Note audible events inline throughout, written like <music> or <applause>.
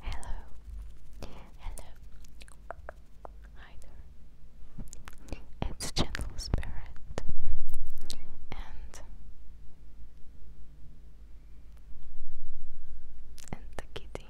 Hello, hello, hi there. It's Gentle Spirit, and and the kitty,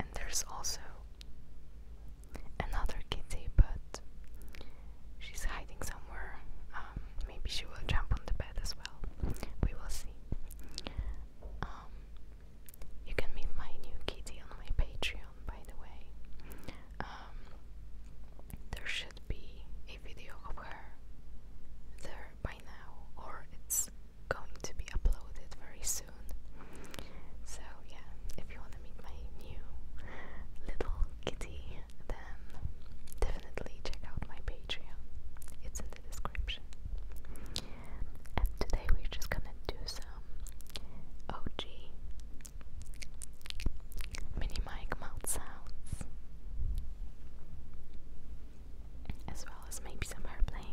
and there's also another kitty, but She's hiding somewhere. Um, maybe she will jump on the bed as well. We will see. Um, you can meet my new kitty on my Patreon, by the way. Um, there should be a video of her there by now, or it's going to be uploaded very soon. So, yeah, if you want to meet my new little kitty, then definitely check out my Patreon. It's in the description. And today we're just gonna do some OG mini mic mouth sounds. As well as maybe some airplane.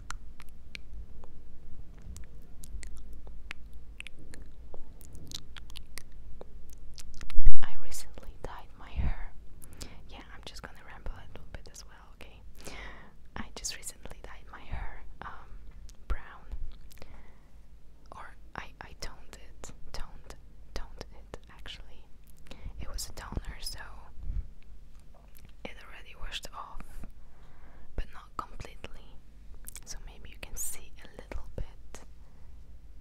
I recently dyed my hair. Yeah, I'm just gonna ramble a little bit as well, okay? I just recently dyed my hair um, brown. Or I, I toned it. Toned, toned it, actually. It was a toner, so it already washed off, but not completely. So maybe you can see a little bit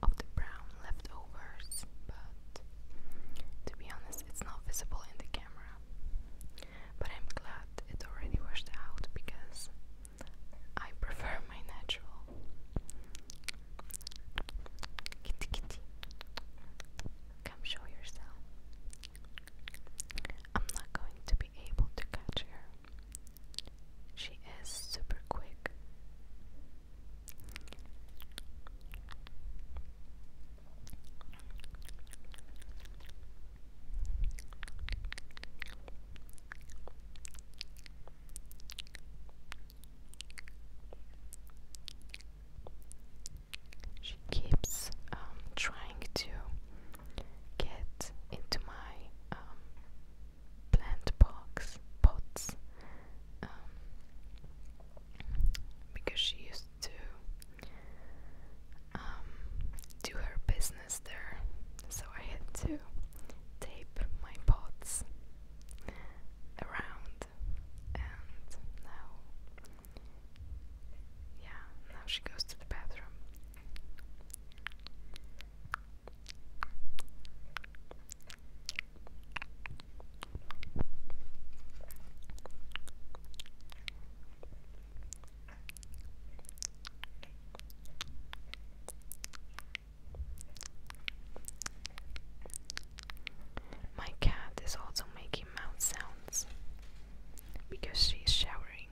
of the brown leftovers, but to be honest, it's not visible in the camera. But I'm glad it already washed out because I prefer <laughs> my natural. Kitty kitty. Come show yourself. I'm not going to be able to catch her. She is super quick she keeps um, trying to get into my um, plant box pots um, because she used to do her business there, so I had to tape my pots around and now yeah now she goes to the bathroom my cat is also making mouth sounds because she's showering.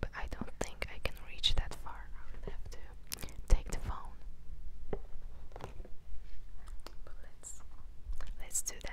But I don't think I can reach that far. I would have to take the phone. But let's let's do that.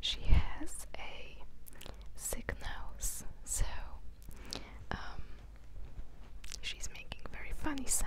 She has a sick nose, so um, she's making very funny sounds.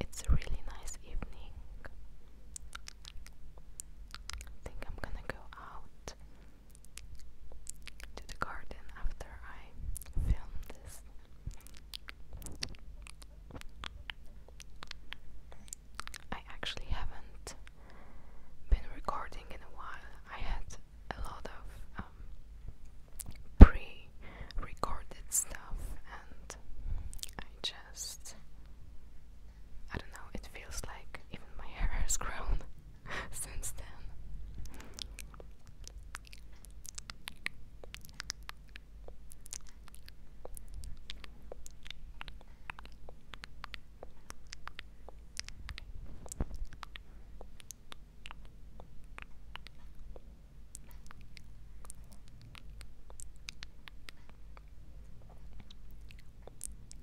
It's a really nice evening. I think I'm gonna go out to the garden after I filmed this. I actually haven't been recording in a while. I had a lot of um, pre recorded stuff, and I just. I don't know, it feels like even my <laughs> hair has grown. <laughs> since then.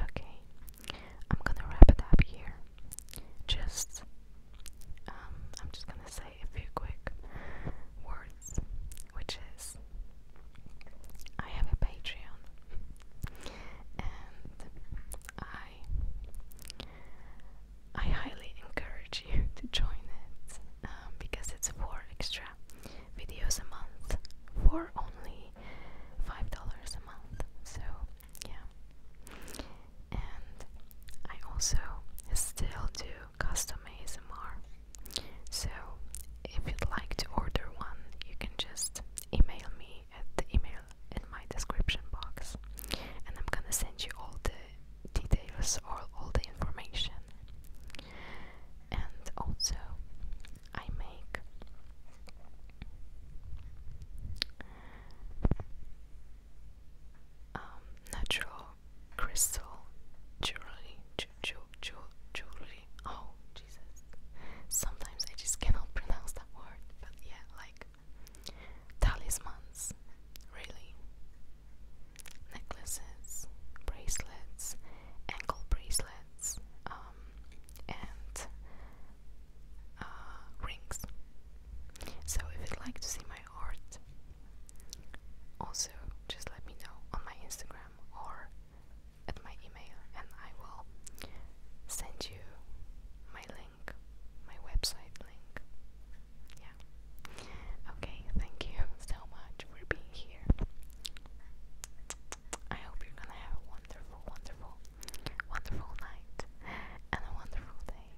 Okay, I'm gonna wrap it up here. Just, um, I'm just gonna say a few quick words, which is I have a Patreon and I I highly encourage you to join it um, because it's four extra videos a month for only five dollars a month. So yeah, and I also still do custom ASMR so, if you'd like to order one, you can just email me at the email in my description box, and I'm gonna send you all the details or all the information. And also, I make um, natural crystal jewelry Julie. Oh, Jesus. Sometimes I just cannot pronounce that word, but yeah, like talismans, really. Necklaces, bracelets, ankle bracelets, um, and uh, rings. So if you'd like to see my art, also just let me know on my Instagram or at my email and I will send you my link, my website link. Yeah. Okay, thank you so much for being here. I hope you're gonna have a wonderful, wonderful, wonderful night and a wonderful day.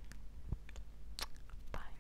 Bye.